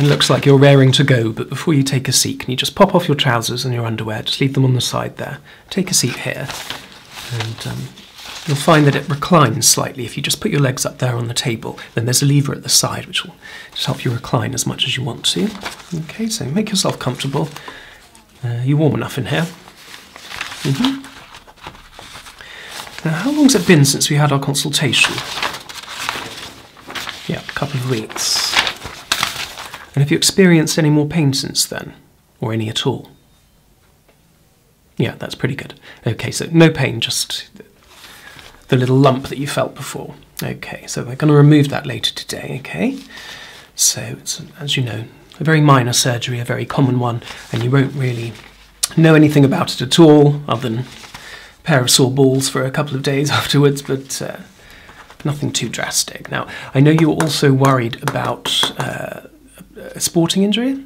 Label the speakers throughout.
Speaker 1: It looks like you're raring to go, but before you take a seat, can you just pop off your trousers and your underwear? Just leave them on the side there take a seat here, and um, you'll find that it reclines slightly. If you just put your legs up there on the table, then there's a lever at the side which will help you recline as much as you want to. Okay, so make yourself comfortable. Uh, you warm enough in here. Mm -hmm. Now, how long's it been since we had our consultation? Yeah, a couple of weeks. And have you experienced any more pain since then? or any at all. Yeah, that's pretty good. Okay, so no pain, just the little lump that you felt before. Okay, so we're going to remove that later today, okay? So it's, as you know, a very minor surgery, a very common one, and you won't really know anything about it at all, other than a pair of sore balls for a couple of days afterwards, but uh, nothing too drastic. Now, I know you were also worried about uh, a sporting injury,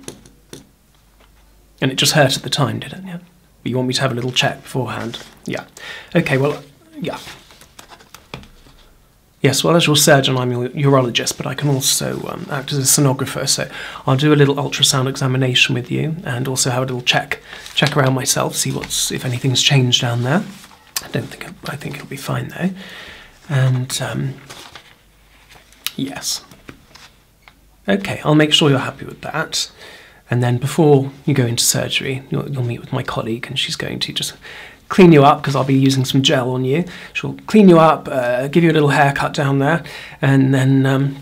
Speaker 1: and it just hurt at the time, did not it? But you want me to have a little check beforehand? Yeah. Okay. Well, yeah. Yes, well, as your surgeon, I'm your urologist, but I can also um, act as a sonographer. So I'll do a little ultrasound examination with you, and also have a little check, check around myself, see what's if anything's changed down there. I don't think I think it'll be fine though. And um, yes, okay, I'll make sure you're happy with that. And then before you go into surgery, you'll, meet with my colleague, and she's going to just clean you up because I'll be using some gel on you. She'll clean you up, uh, give you a little haircut down there, and then um,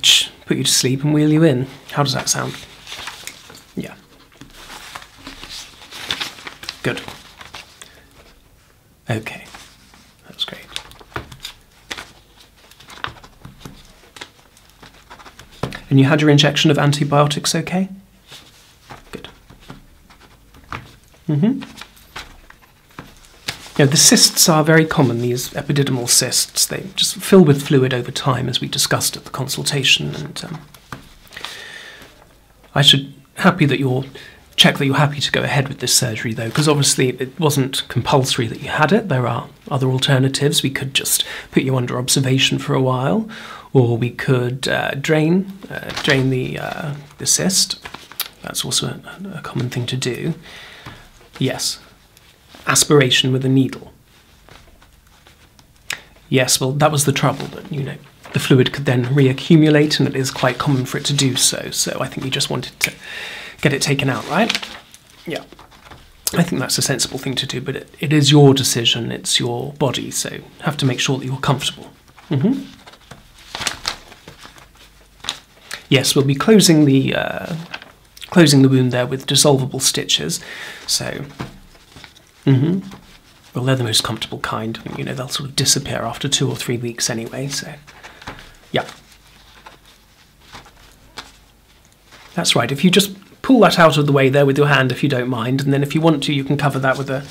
Speaker 1: put you to sleep and wheel you in. How does that sound? Yeah. Good. Okay, that's great. And you had your injection of antibiotics okay? Good. Mm hmm. Yeah, the cysts are very common, these epididymal cysts. They just fill with fluid over time, as we discussed at the consultation. And um, I should happy that you're check that you're happy to go ahead with this surgery though because obviously it wasn't compulsory that you had it there are other alternatives we could just put you under observation for a while or we could uh, drain uh, drain the uh, the cyst that's also a, common thing to do yes aspiration with a needle yes well that was the trouble but you know the fluid could then reaccumulate, and it is quite common for it to do so. So I think you just wanted to get it taken out, right? Yeah. I think that's a sensible thing to do, but it is your decision, it's your body, so you have to make sure that you're comfortable. Mm-hmm. Yes, we'll be closing the uh, closing the wound there with dissolvable stitches. So, mm-hmm. Well, they're the most comfortable kind. you know, they'll sort of disappear after two or three weeks anyway, so. Yeah. That's right. If you just pull that out of the way there with your hand, if you don't mind, and then if you want to, you can cover that with a,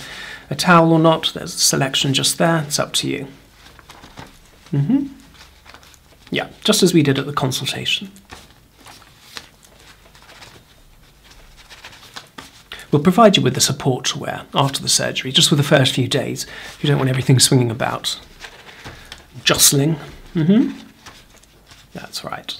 Speaker 1: towel or not. There's a selection just there. It's up to you. hmm Yeah, just as we did at the consultation. We'll provide you with the support to wear after the surgery, just for the first few days. You don't want everything swinging about, jostling. Mm-hmm. That's right.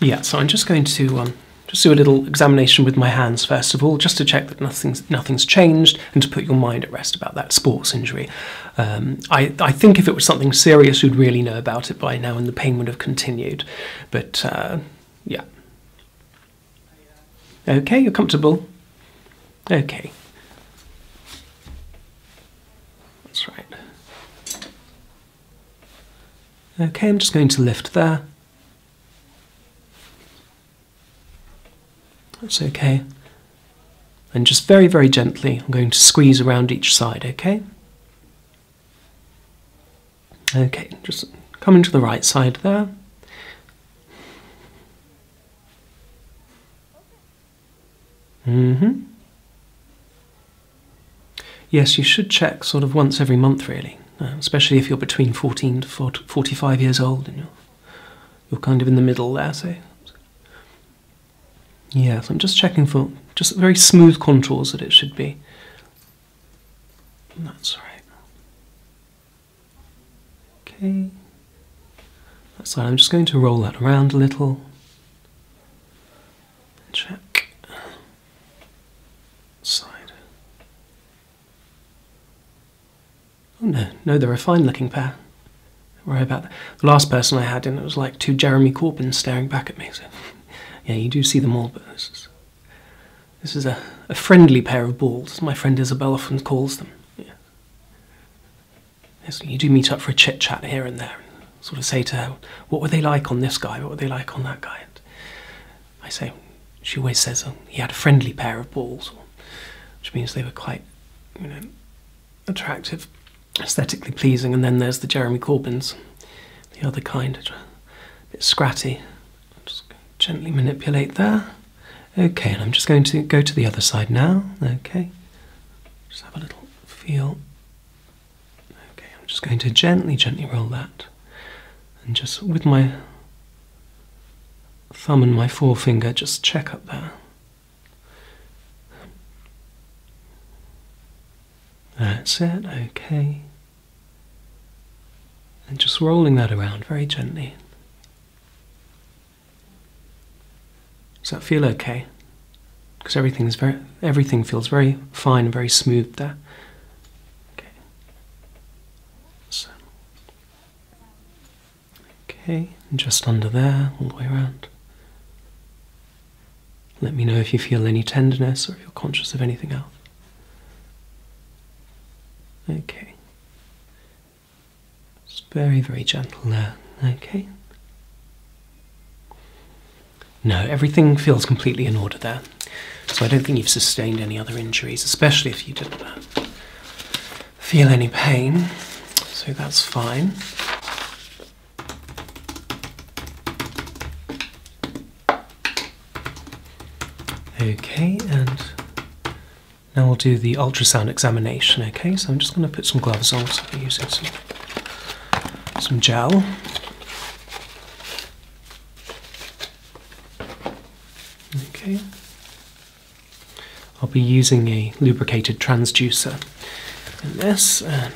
Speaker 1: Yeah, so I'm just going to um, just do a little examination with my hands first of all, just to check that nothing's nothing's changed, and to put your mind at rest about that sports injury. Um, I, think if it was something serious, you'd really know about it by now, and the pain would have continued. But uh, yeah. Okay, you're comfortable. Okay. That's right. Okay, I'm just going to lift there. That's okay. And just very, very gently, I'm going to squeeze around each side, okay? Okay, just coming to the right side there. hmm Yes, you should check sort of once every month, really, uh, especially if you're between 14 to 45 years old and you're you're kind of in the middle there, so. Yes, I'm just checking for just very smooth contours that it should be. That's right. Okay. That's right. I'm just going to roll that around a little. Check. Side. Oh no, no, they're a fine looking pair. Worry about that. The last person I had in it was like two Jeremy Corbyns staring back at me. yeah, you do see them all, but this is, a, friendly pair of balls, as my friend Isabella often calls them. Yeah. you do meet up for a chit chat here and there, and sort of say to her, What were they like on this guy? What were they like on that guy? And I say, She always says, oh, He had a friendly pair of balls which means they were quite, you know, attractive, aesthetically pleasing. And then there's the Jeremy Corbins, the other kind, a bit scratty. just gently manipulate there. Okay, and I'm just going to go to the other side now. Okay, just have a little feel. Okay, I'm just going to gently, gently roll that, and just with my thumb and my forefinger just check up there. That's it, okay. And just rolling that around very gently. Does that feel okay? Because everything is very everything feels very fine, very smooth there. Okay. So Okay, just under there, all the way around. Let me know if you feel any tenderness or if you're conscious of anything else. Okay. It's very, very gentle there. Okay. No, everything feels completely in order there. So I don't think you've sustained any other injuries, especially if you did that feel any pain, so that's fine. Okay, and now we'll do the ultrasound examination, okay? So I'm just going to put some gloves on, so we're using some, some gel. Okay. I'll be using a lubricated transducer in this, um,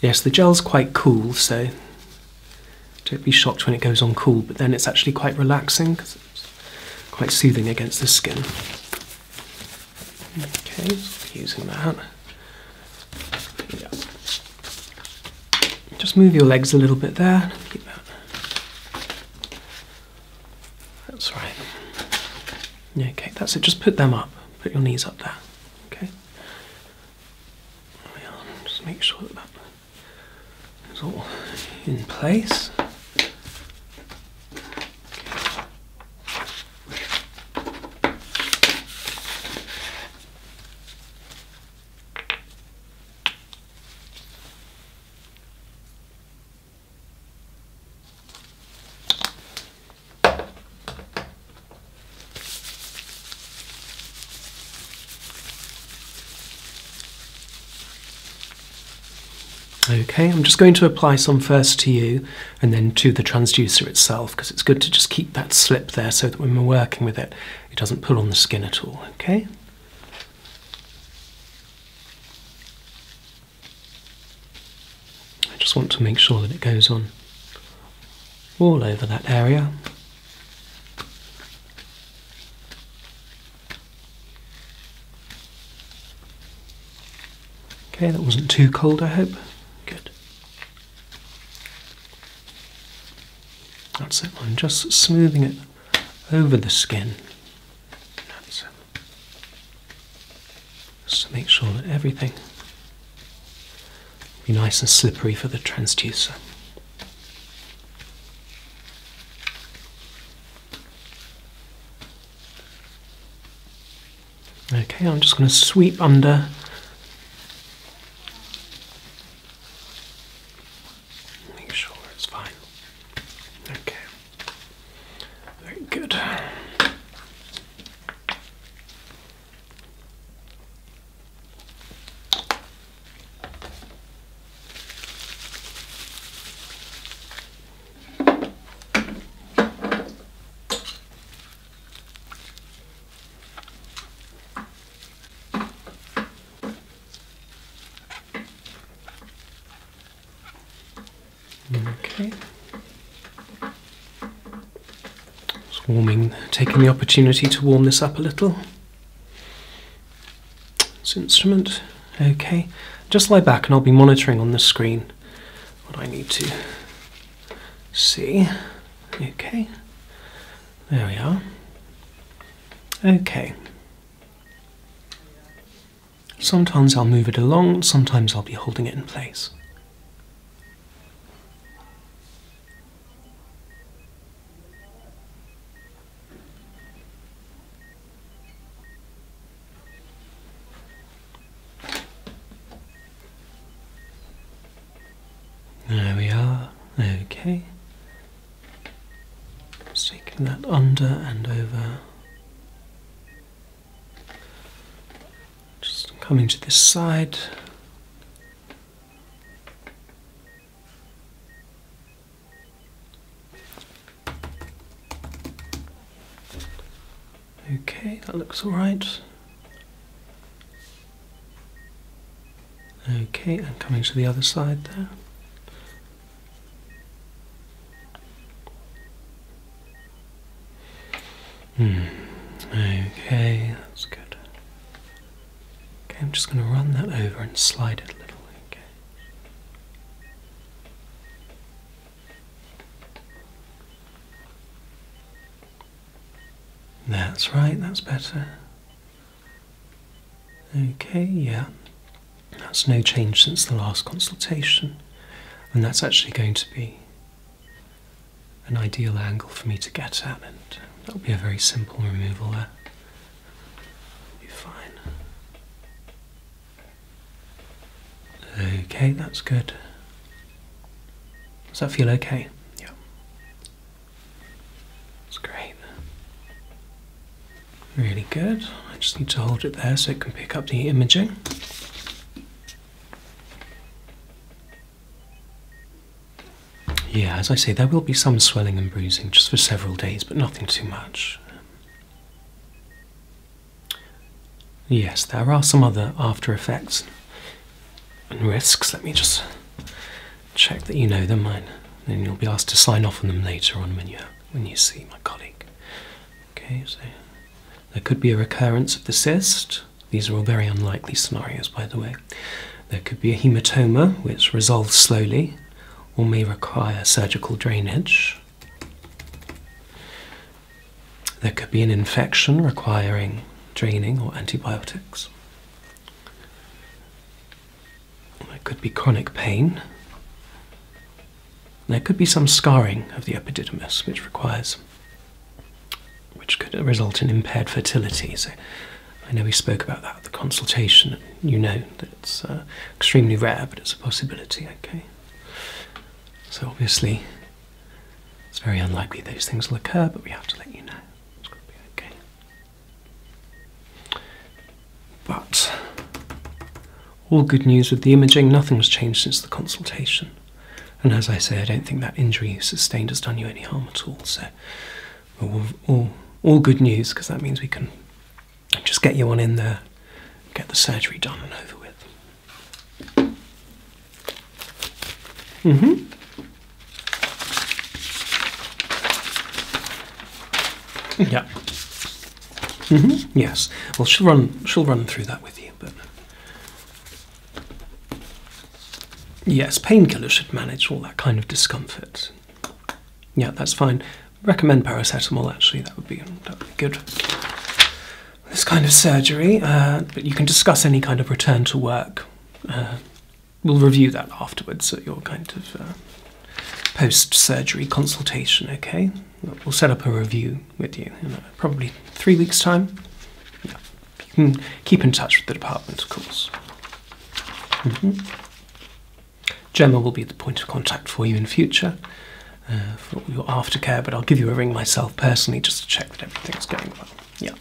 Speaker 1: yes, the gel's quite cool, so don't be shocked when it goes on cool, but then it's actually quite relaxing quite soothing against the skin. Okay, using that. Just move your legs a little bit there. That's right. Yeah, okay, that's it. Just put them up. Put your knees up there. Okay. Just make sure that that is all in place. Okay, I'm just going to apply some first to you and then to the transducer itself because it's good to just keep that slip there so that when we're working with it, it doesn't pull on the skin at all, okay? I just want to make sure that it goes on all over that area. Okay, that wasn't too cold, I hope. Good. That's it, I'm just smoothing it over the skin. Just to make sure that everything will be nice and slippery for the transducer. Okay, I'm just going to sweep under Make sure it's fine. Okay. Very good. Okay. warming, taking the opportunity to warm this up a little. This instrument, okay. Just lie back and I'll be monitoring on the screen what I need to see. Okay, there we are. Okay. Sometimes I'll move it along, sometimes I'll be holding it in place. There we are, okay. Just taking that under and over. Just coming to this side. Okay, that looks alright. Okay, I'm coming to the other side there. Hmm. Okay, that's good. Okay, I'm just going to run that over and slide it a little. Okay. That's right, that's better. Okay, yeah, that's no change since the last consultation, and that's actually going to be an ideal angle for me to get at, and that'll be a very simple removal there. Be fine. Okay, that's good. Does that feel okay? Yeah. It's great. Really good. I just need to hold it there so it can pick up the imaging. Yeah, as I say, there will be some swelling and bruising just for several days, but nothing too much. Yes, there are some other after effects and risks. Let me just check that you know them, mine, and you'll be asked to sign off on them later on when you when you see my colleague. Okay, so there could be a recurrence of the cyst. These are all very unlikely scenarios, by the way. There could be a hematoma, which resolves slowly, or may require surgical drainage. There could be an infection requiring draining or antibiotics. It could be chronic pain. There could be some scarring of the epididymis, which requires, which could result in impaired fertility. So, I know we spoke about that at the consultation. You know that it's uh, extremely rare, but it's a possibility. Okay. So obviously, it's very unlikely those things will occur, but we have to let you know. It's going to be okay. But all good news with the imaging, nothing's changed since the consultation. And as I say, I don't think that injury you sustained has done you any harm at all. So, all, all, all good news because that means we can just get you on in there, get the surgery done and over with. hmm yeah. Mm-hmm. Yes. Well, she'll run. She'll run through that with you. But yes, painkillers should manage all that kind of discomfort. Yeah, that's fine. Recommend paracetamol. Actually, that would be that would be good. This kind of surgery, uh, but you can discuss any kind of return to work uh, we'll review that afterwards at your kind of uh, post-surgery consultation. Okay, we'll set up a review with you in uh, probably three weeks' time. You can keep in touch with the department, of course. Mm-hmm. Gemma will be the point of contact for you in future uh, for your aftercare, but I'll give you a ring myself personally just to check that everything's going well. Yeah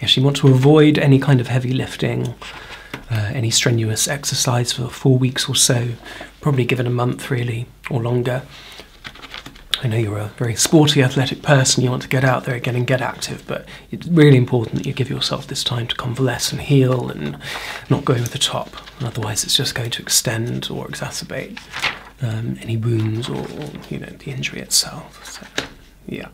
Speaker 1: yeah, she wants to avoid any kind of heavy lifting, uh, any strenuous exercise for four weeks or so, probably given a month really or longer. I know you're a very sporty, athletic person, you want to get out there again and get active, but it's really important that you give yourself this time to convalesce and heal and not go over the top. Otherwise, it's just going to extend or exacerbate um, any wounds or, you know, the injury itself. yeah.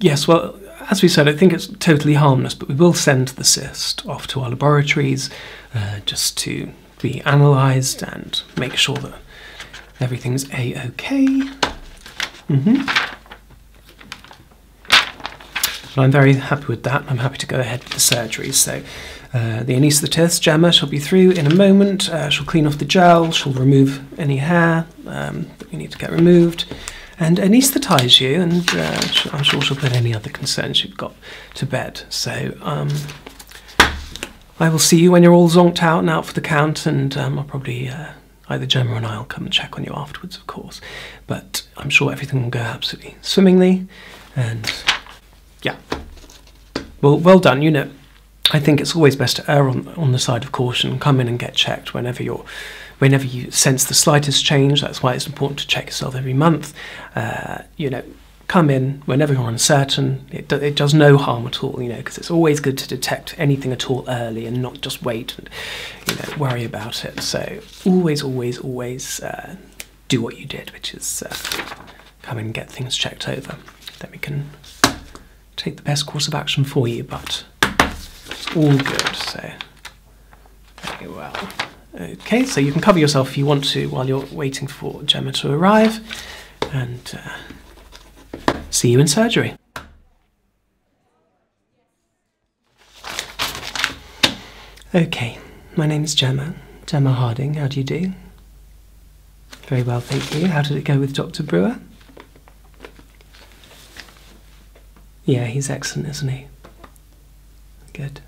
Speaker 1: Yes, well, as we said, I think it's totally harmless, but we will send the cyst off to our laboratories uh, just to be analysed and make sure that everything's a-okay. Mm-hmm. But I'm very happy with that. I'm happy to go ahead with the surgery. So uh, the anaesthetist, Gemma, shall be through in a moment. Uh, she'll clean off the gel, she'll remove any hair um, that we need to get removed and anaesthetize you and uh, I'm sure she'll put any other concerns you've got to bed. So um, I will see you when you're all zonked out and out for the count and um, I'll probably uh, either Gemma or I will come and check on you afterwards of course but I'm sure everything will go absolutely swimmingly and yeah. Well, well done, unit. I think it's always best to err on, the side of caution, come in and get checked whenever you're whenever you sense the slightest change. That's why it's important to check yourself every month. Uh, you know, come in whenever you're uncertain. It, does no harm at all, you know, because it's always good to detect anything at all early and not just wait and, you know, worry about it. So always, always, always uh, do what you did, which is uh, come and get things checked over. Then we can take the best course of action for you, but it's all good, so very well. Okay, so you can cover yourself if you want to while you're waiting for Gemma to arrive, and uh, see you in surgery. Okay, my name is Gemma, Gemma Harding, how do you do? Very well, thank you. How did it go with Dr. Brewer? Yeah, he's excellent, isn't he? Good.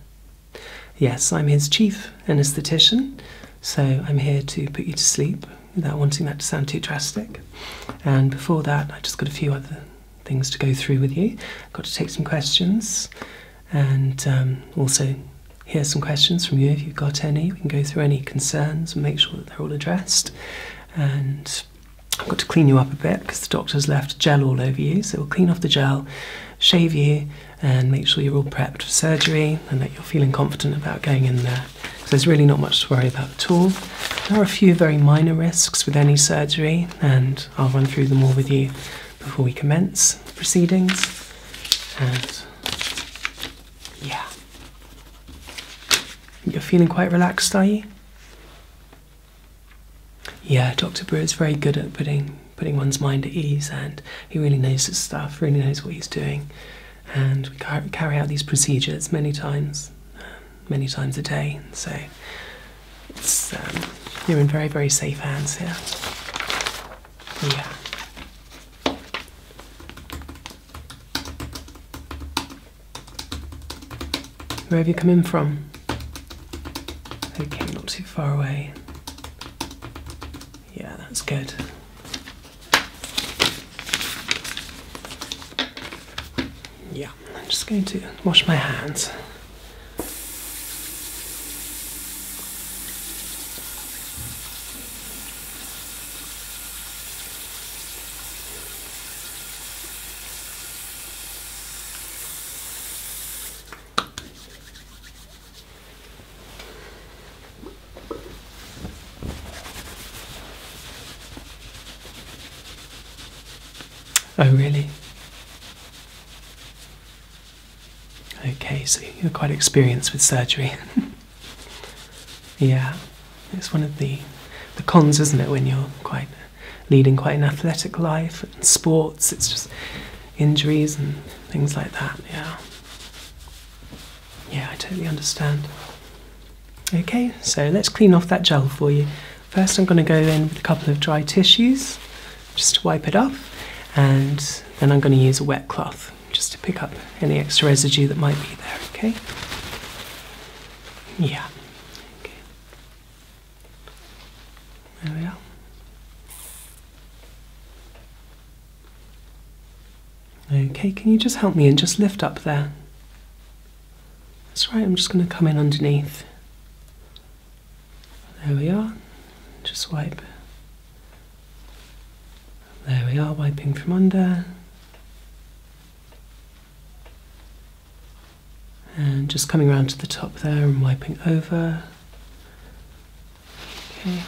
Speaker 1: Yes, I'm his chief anaesthetist, so I'm here to put you to sleep without wanting that to sound too drastic. And before that, I just got a few other things to go through with you. got to take some questions and um, also hear some questions from you if you've got any. We can go through any concerns and make sure they're all addressed. And I've got to clean you up a bit because the doctor's left gel all over you. So we'll clean off the gel, shave you, and make sure you're all prepped for surgery and that you're feeling confident about going in there. So there's really not much to worry about at all. There are a few very minor risks with any surgery, and I'll run through them all with you before we commence the proceedings. And yeah. You're feeling quite relaxed, are you? Yeah, Dr. is very good at putting putting one's mind at ease, and he really knows his stuff, really knows what he's doing. And we carry out these procedures many times, um, many times a day. So um, you're in very, very safe hands here. Yeah. Where have you come in from? Okay, not too far away. Yeah, that's good. Yeah, I'm just going to wash my hands. Oh, really? Okay, so you're quite experienced with surgery. Yeah, it's one of the the cons, isn't it, when you're quite leading quite an athletic life and sports, it's just injuries and things like that, yeah. Yeah, I totally understand. Okay, so let's clean off that gel for you. First, I'm going to go in with a couple of dry tissues just to wipe it off, and then I'm going to use a wet cloth just to pick up any extra residue that might be there, okay? Yeah. Okay. There we are. Okay, can you just help me and just lift up there? That's right, I'm just going to come in underneath. There we are. Just wipe. There we are, wiping from under. And just coming around to the top there and wiping over. Okay.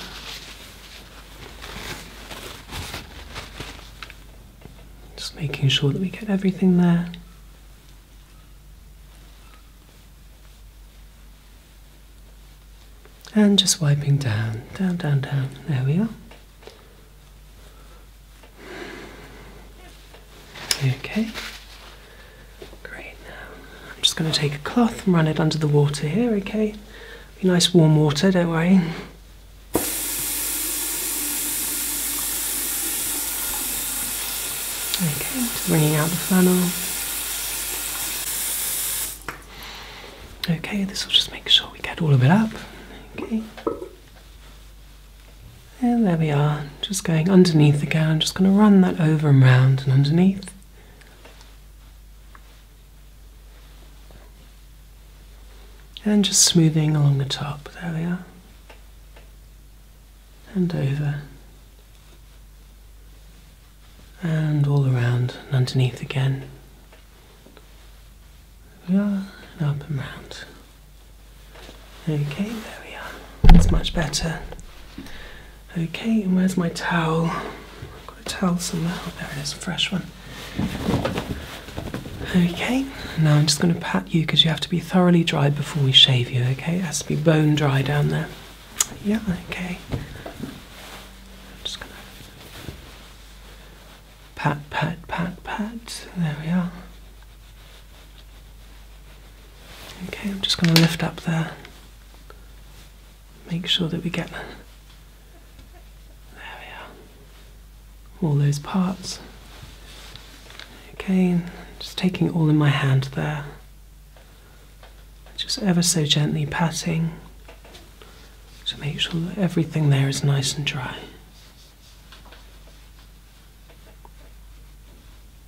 Speaker 1: Just making sure that we get everything there. And just wiping down, down, down, down. There we are. Okay. Great. Now I'm just going to take a cloth and run it under the water here. Okay. Be nice warm water. Don't worry. Okay. Just wringing out the funnel. Okay, this will just make sure we get all of it up. Okay. And there we are, just going underneath again. just going to run that over and round and underneath. And just smoothing along the top. There we are. And over. And all around and underneath again round and up and round. Okay, there we are. It's much better. Okay, and where's my towel? I've got a towel somewhere. Oh, there it is, a fresh one. Okay, now I'm just going to pat you because you have to be thoroughly dry before we shave you, okay? It has to be bone dry down there. Yeah, okay. I'm just going to pat, pat, pat, pat. There we are. Okay, I'm just going to lift up there. Make sure that we get there we are. All those parts. Okay, just taking all in my hand there. Just ever so gently patting to make sure that everything there is nice and dry.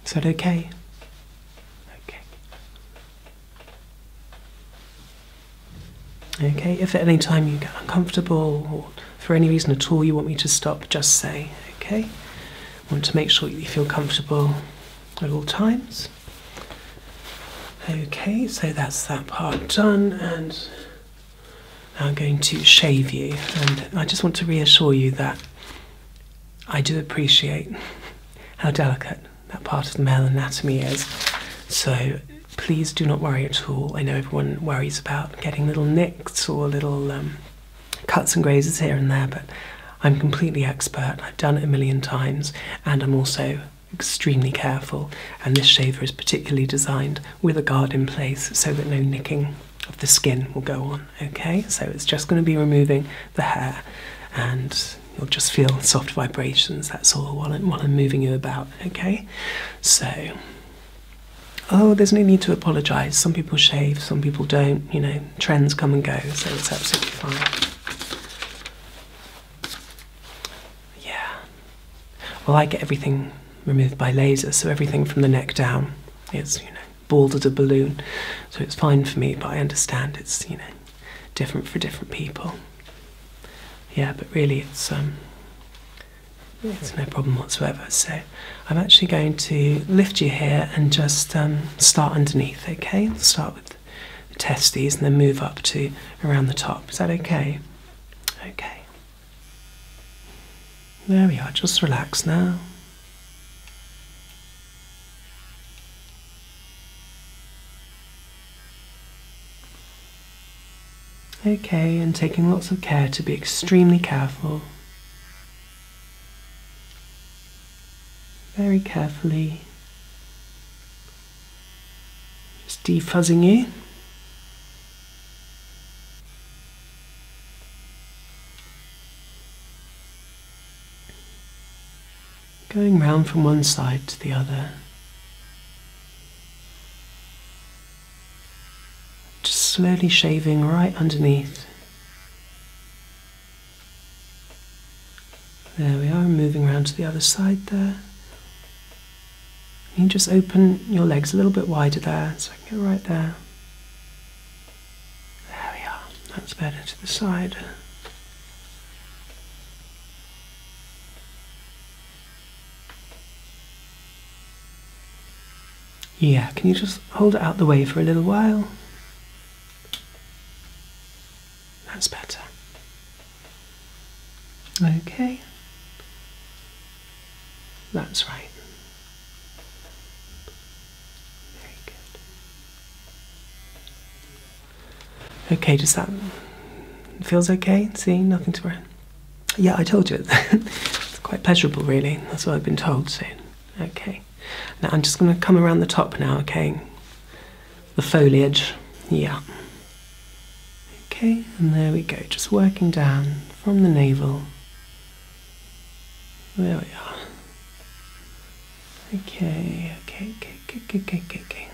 Speaker 1: Is that okay? Okay. Okay, if at any time you get uncomfortable or for any reason at all you want me to stop, just say, okay? want to make sure you feel comfortable at all times. Okay, so that's that part done and I'm going to shave you, and I just want to reassure you that I do appreciate how delicate that part of the male anatomy is. So please do not worry at all. I know everyone worries about getting little nicks or little um, cuts and grazes here and there, but I'm completely expert. I've done it a million times, and I'm also extremely careful. And this shaver is particularly designed with a guard in place so that no nicking of the skin will go on. Okay, so it's just going to be removing the hair and you'll just feel soft vibrations. That's all while I'm, moving you about. Okay, so oh, there's no need to apologize. Some people shave, some people don't. You know, trends come and go, so it's absolutely fine. Yeah. Well, I get everything removed by laser, so everything from the neck down is, you know, bald as a balloon. So it's fine for me, but I understand it's, you know, different for different people. Yeah, but really it's um, it's no problem whatsoever. So I'm actually going to lift you here and just um, start underneath, okay? I'll start with the testes and then move up to around the top. Is that okay? Okay. There we are, just relax now. Okay, and taking lots of care to be extremely careful. Very carefully. Just defuzzing you. Going round from one side to the other. Just slowly shaving right underneath. There we are, moving round to the other side there. You just open your legs a little bit wider there, so I can get right there. There we are, that's better to the side. Yeah, can you just hold it out the way for a little while? That's better. Okay. That's right. Very good. Okay, does that feels okay? See, nothing to worry. Yeah, I told you it's quite pleasurable, really. That's what I've been told. So, okay. Now I'm just going to come around the top now. Okay, the foliage. Yeah. Okay, and there we go, just working down from the navel. There we are. Okay, okay, okay, okay, okay, okay, okay.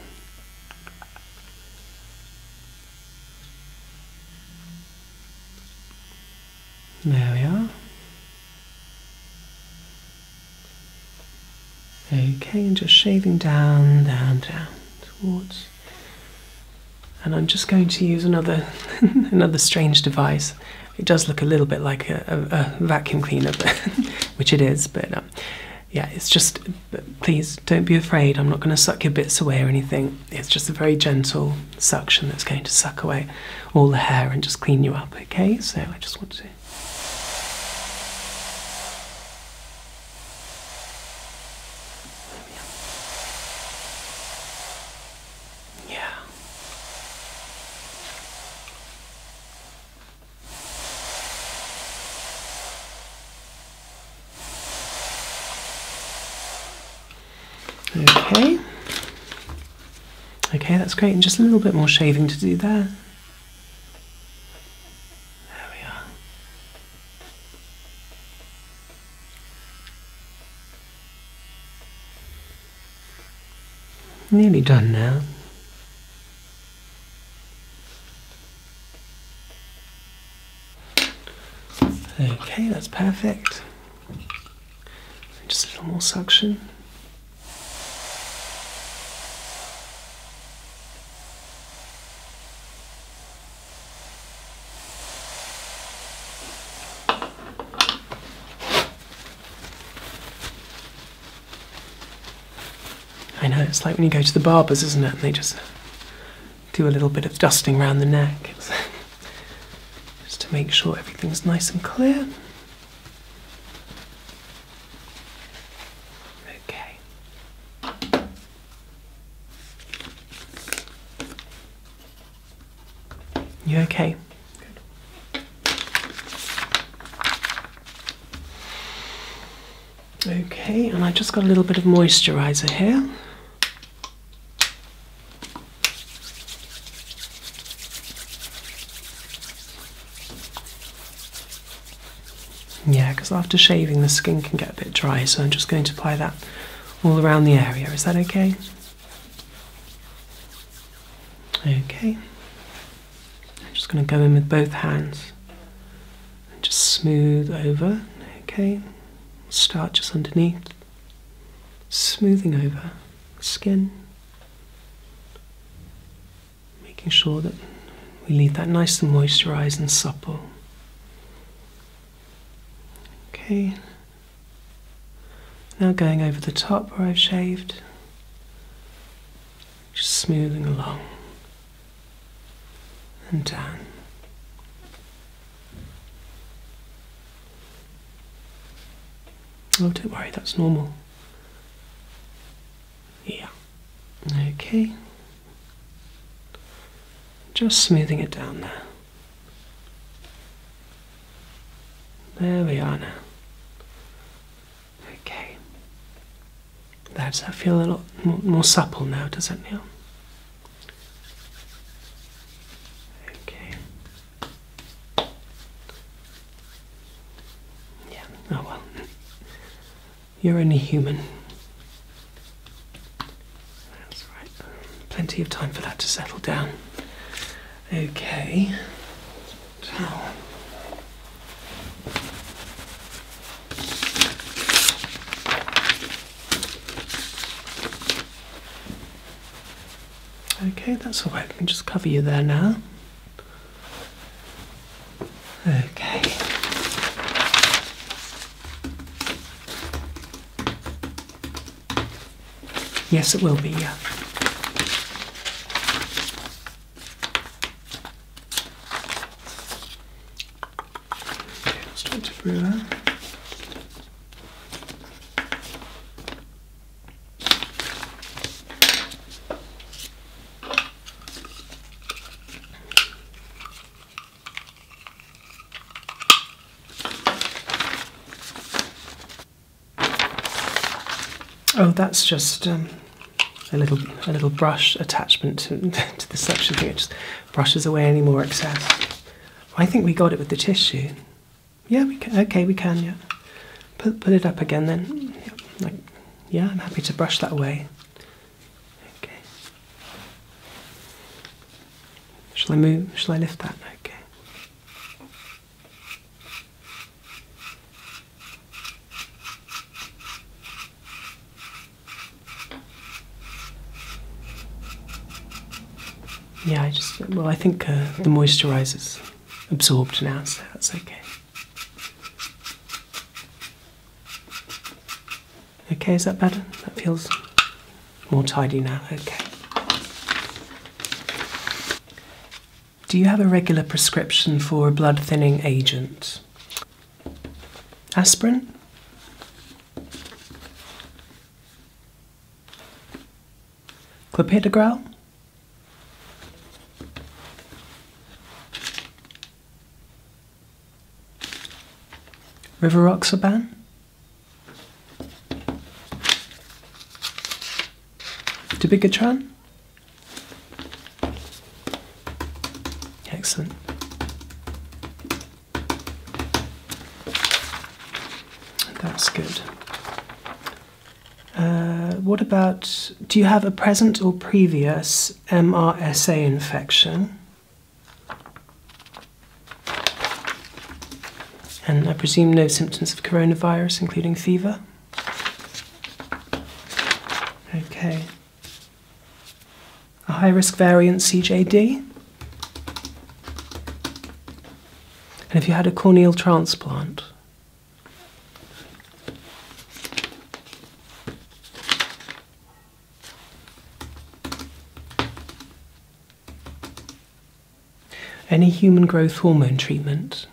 Speaker 1: There we are. Okay, and just shaving down, down, down, towards and I'm just going to use another another strange device. It does look a little bit like a, vacuum cleaner, which it is. But um, yeah, it's just. Please don't be afraid. I'm not going to suck your bits away or anything. It's just a very gentle suction that's going to suck away all the hair and just clean you up. Okay, so I just want to. Yeah. Okay. Okay, that's great. And just a little bit more shaving to do there. There we are. Nearly done now. Okay, that's perfect. Just a little more suction. I know, it's like when you go to the barbers, isn't it? And they just do a little bit of dusting around the neck. just to make sure everything's nice and clear. Okay. You okay? Okay, and I just got a little bit of moisturizer here. Yeah, because after shaving the skin can get a bit dry, so I'm just going to apply that all around the area. Is that okay? Okay. just going to go in with both hands and just smooth over. Okay. Start just underneath, smoothing over skin, making sure that we leave that nice and moisturized and supple. Okay, now going over the top where I've shaved, just smoothing along and down. Oh, don't worry, that's normal. Yeah. Okay. Just smoothing it down there. There we are now. Okay. That's, I feel a lot more, supple now, does it, Neil? Okay. Yeah, oh well. You're only human. That's right. Plenty of time for that to settle down. Okay. Okay, that's all right. Let me just cover you there now. Okay. Yes, it will be, yeah. Okay, I'll start to brew that. Oh, that's just um, a little a little brush attachment to, the suction thing. It just brushes away any more excess. I think we got it with the tissue. Yeah, we can. Okay, we can. Yeah, put put it up again then. yeah, I'm happy to brush that away. Okay. Shall I move? Shall I lift that? Okay. Yeah, I just, well, I think uh, the moisturizer's absorbed now, so that's okay. Okay, is that better? That feels more tidy now, okay. Do you have a regular prescription for a blood thinning agent? Aspirin? Clopidogrel? Rivaroxaban? Topikatran? Excellent. That's good. Uh, what about, do you have a present or previous MRSA infection? And I presume no symptoms of coronavirus, including fever? Okay. A high risk variant CJD? And if you had a corneal transplant? Any human growth hormone treatment?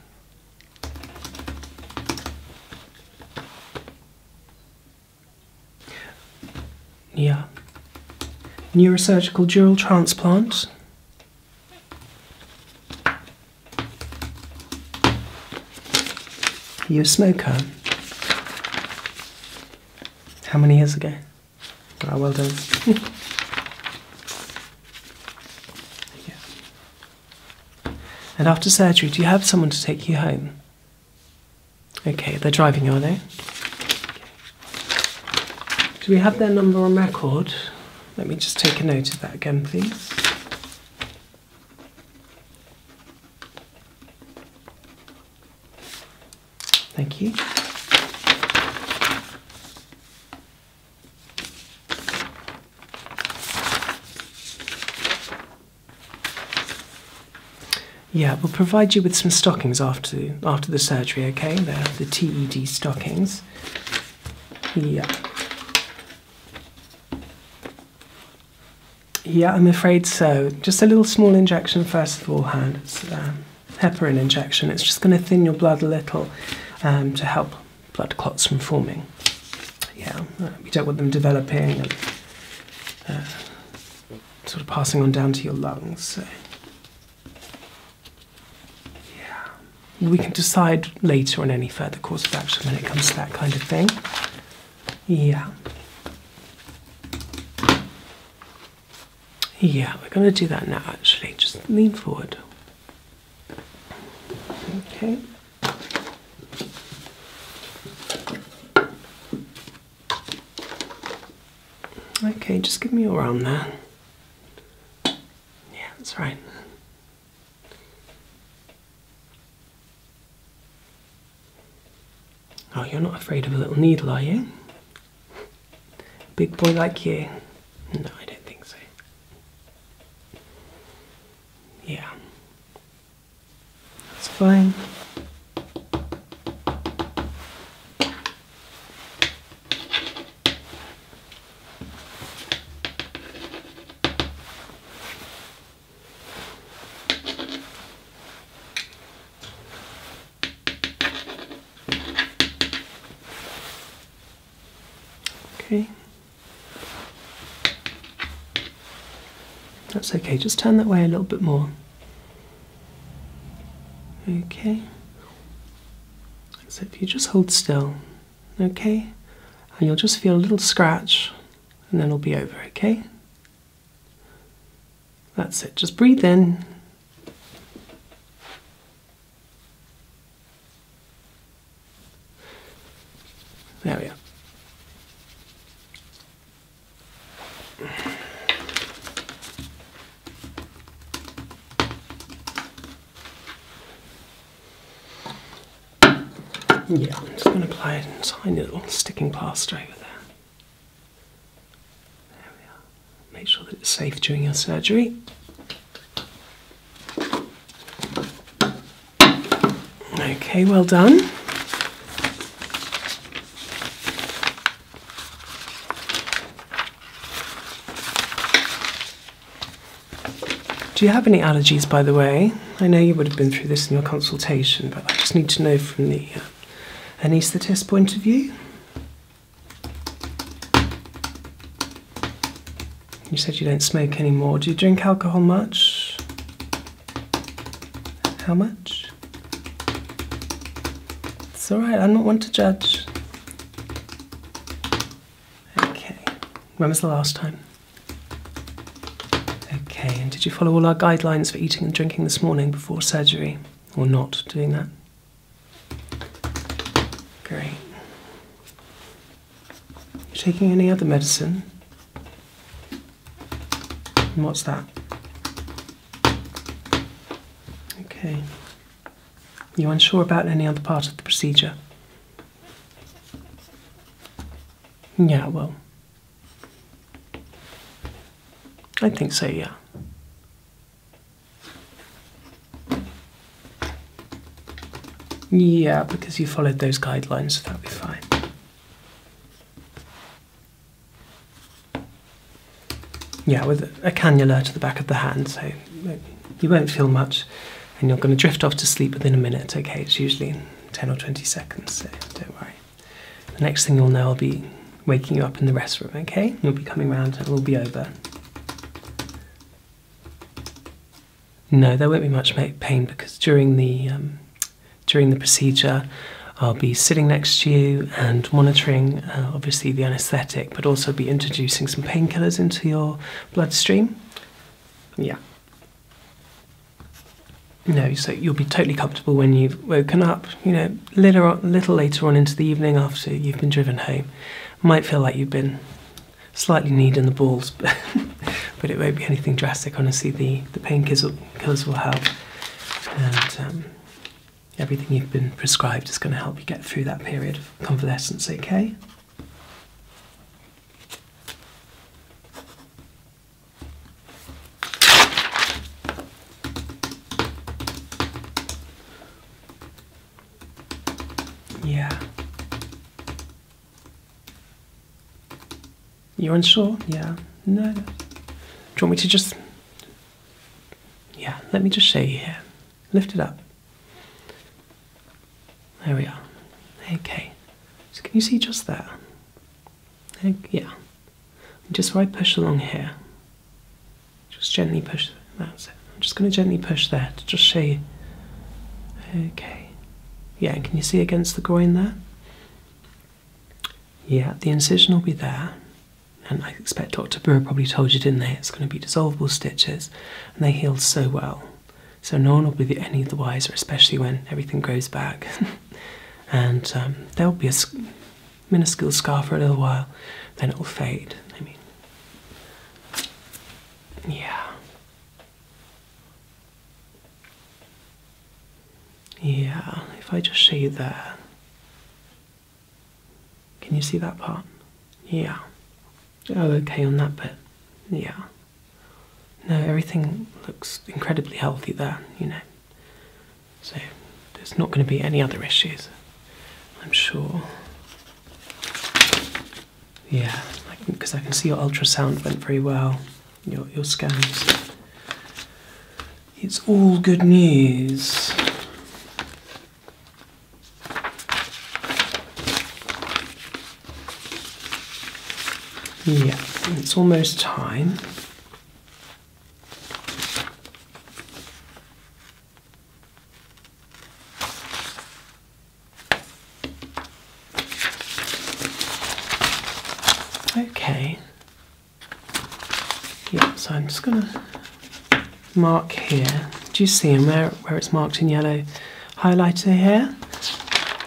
Speaker 1: Yeah. Neurosurgical dural transplant? you a smoker? How many years ago? Ah, well done. And after surgery, do you have someone to take you home? Okay, they're driving you, are they? Do we have their number on record? Let me just take a note of that again, please. Thank you. Yeah, we'll provide you with some stockings after after the surgery, okay? they the TED stockings. Yeah. Yeah, I'm afraid so. Just a little small injection first of all, hand. Um, heparin injection. It's just going to thin your blood a little um, to help blood clots from forming. Yeah, we don't want them developing and uh, sort of passing on down to your lungs. So. Yeah, we can decide later on any further course of action when it comes to that kind of thing. Yeah. Yeah, we're going to do that now actually. Just lean forward. Okay. Okay, just give me your arm there. Yeah, that's right. Oh, you're not afraid of a little needle, are you? Big boy like you? No, I don't think so. Yeah. That's fine. Okay. That's okay, just turn that way a little bit more. Okay. So if you just hold still, okay? And you'll just feel a little scratch and then it'll be over, okay? That's it. Just breathe in there we are. Yeah, I'm just going to apply a tiny little sticking plaster over there. There we are make sure that it's safe during your surgery. Okay, well done. Do you have any allergies, by the way? I know you would have been through this in your consultation, but I just need to know from the uh, point of view. You said you don't smoke anymore. Do you drink alcohol much? How much? It's alright, i do not want to judge. Okay. When was the last time? Okay, and did you follow all our guidelines for eating and drinking this morning before surgery? Or not doing that? Great. You taking any other medicine? what's that? Okay. You unsure about any other part of the procedure? Yeah, well. I think so, yeah. Yeah, because you followed those guidelines, so that'll be fine. Yeah, with a cannula to the back of the hand, so you won't feel much, and you're going to drift off to sleep within a minute. Okay, it's usually 10 or 20 seconds, so don't worry. The next thing you'll know, I'll be waking you up in the restroom, okay? You'll be coming round, it'll be over. No, there won't be much pain because during the um, during the procedure, I'll be sitting next to you and monitoring, uh, obviously the anaesthetic, but also be introducing some painkillers into your bloodstream. Yeah. No, so you'll be totally comfortable when you've woken up. You know, little little later on into the evening after you've been driven home might feel like you've been slightly kneading the balls, but, but it won't be anything drastic. Honestly, the, the painkillers will help, and um, everything you've been prescribed is going to help you get through that period of convalescence, okay? Yeah. You're unsure? Yeah. No. Do you want me to just. Yeah, let me just show you here. Lift it up. There we are. Okay. So can you see just there? Yeah. Just right, push along here. Just gently push that's it. I'm just going to gently push there to just show you. Okay. Yeah, can you see against the groin there? Yeah, the incision will be there. And I expect Dr. Brewer probably told you, didn't they? It's going to be dissolvable stitches, and they heal so well. So no one will be any the wiser, especially when everything grows back. and um, there'll be a minuscule scar for a little while, then it will fade. I mean, yeah. Yeah, if I just shade there. Can you see that part? Yeah. Oh, okay, on that bit. Yeah. No, everything looks incredibly healthy there, you know. So there's not going to be any other issues, I'm sure. Yeah, because I, can see your ultrasound went very well, your, your scans. It's all good news. Yeah, it's almost time. Okay. Yeah, so I'm just gonna mark here. Do you see where, where it's marked in yellow highlighter here?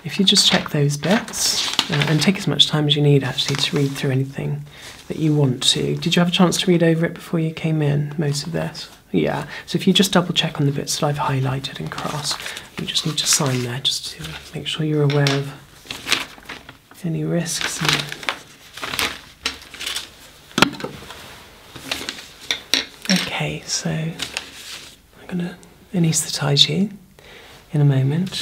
Speaker 1: If you just check those bits, uh, and take as much time as you need actually to read through anything that you want to. Did you have a chance to read over it before you came in, most of this? Yeah, so if you just double check on the bits that I've highlighted and crossed, you just need to sign there just to make sure you're aware of any risks. okay, so I'm going to anaesthetize you in a moment.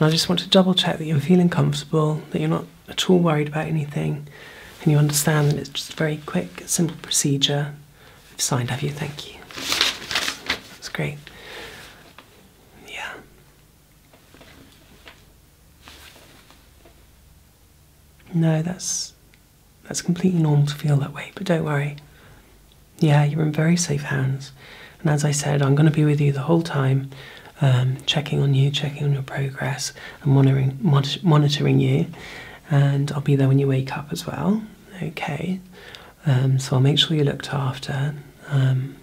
Speaker 1: And I just want to double check that you're feeling comfortable, that you're not at all worried about anything and you understand that it's just a very quick, simple procedure. signed, have you? Thank you. That's great. Yeah. No, that's that's completely normal to feel that way, but don't worry. Yeah, you're in very safe hands. And as I said, I'm going to be with you the whole time, um, checking on you, checking on your progress, and monitoring, monitoring you and I'll be there when you wake up as well. Okay, um, so I'll make sure you're looked after. Um,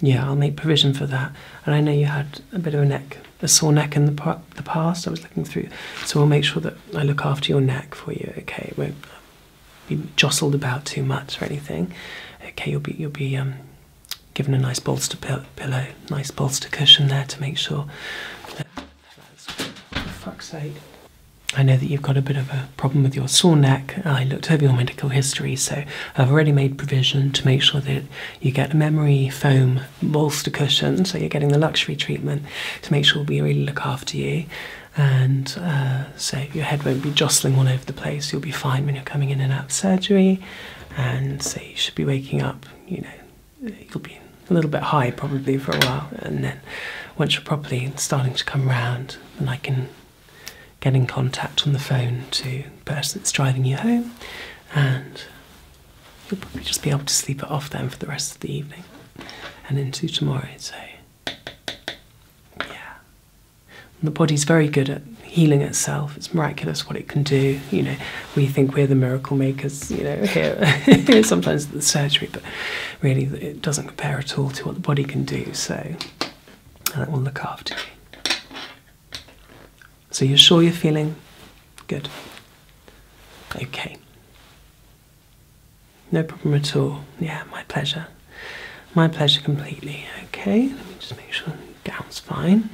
Speaker 1: yeah, I'll make provision for that. And I know you had a bit of a neck, a sore neck in the, past. I was looking through, so I'll make sure that I look after your neck for you. Okay, won't be jostled about too much or anything. Okay, you'll be you'll be um, given a nice bolster pillow, nice bolster cushion there to make sure for fuck's sake. I know that you've got a bit of a problem with your sore neck. I looked over your medical history, so I've already made provision to make sure that you get a memory foam bolster cushion, so you're getting the luxury treatment to make sure we really look after you. And uh, so your head won't be jostling all over the place. You'll be fine when you're coming in and out of surgery, and so you should be waking up, you know, you'll be a little bit high probably for a while, and then once you're properly starting to come round, then I can get in contact on the phone to the person that's driving you home, and you'll probably just be able to sleep it off then for the rest of the evening and into tomorrow. So, yeah, the body's very good at healing itself. It's miraculous what it can do. You know, we think we're the miracle makers, you know, here, sometimes the surgery, but really it doesn't compare at all to what the body can do. So that will look after you. So you're sure you're feeling good? Okay. No problem at all. Yeah, my pleasure. My pleasure completely. Okay, let me just make sure gown's fine.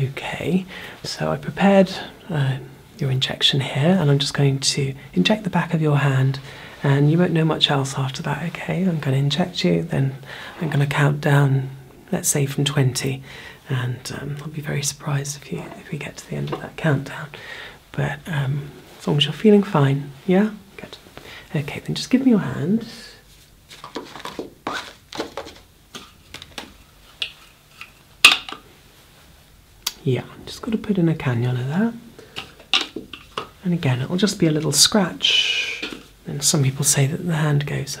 Speaker 1: Okay, so I prepared uh, your injection here, and I'm just going to inject the back of your hand, and you won't know much else after that. Okay, I'm going to inject you, then I'm going to count down, let's say from 20, and um, I'll be very surprised if you if we get to the end of that countdown. But um, as long as you're feeling fine, yeah, good. Okay, then just give me your hand. Yeah, I'm just going to put in a cannula there. And again, it'll just be a little scratch. And some people say that the hand goes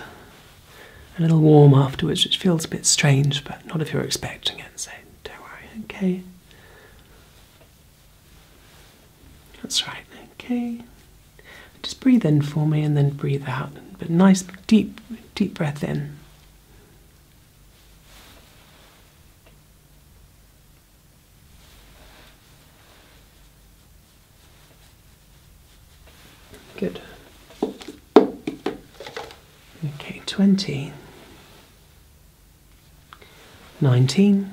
Speaker 1: a little warm afterwards, which feels a bit strange, but not if you're expecting it, so don't worry, okay? That's right, okay. Just breathe in for me and then breathe out, but nice, deep, Deep breath in. Good. Okay, 20, 19,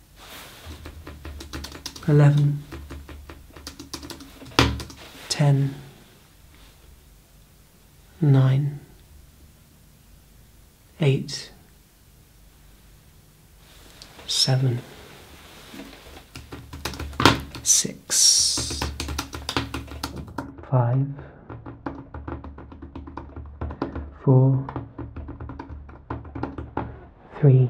Speaker 1: 11, 10, 9, 8, 7, 6, 5, 4, 3,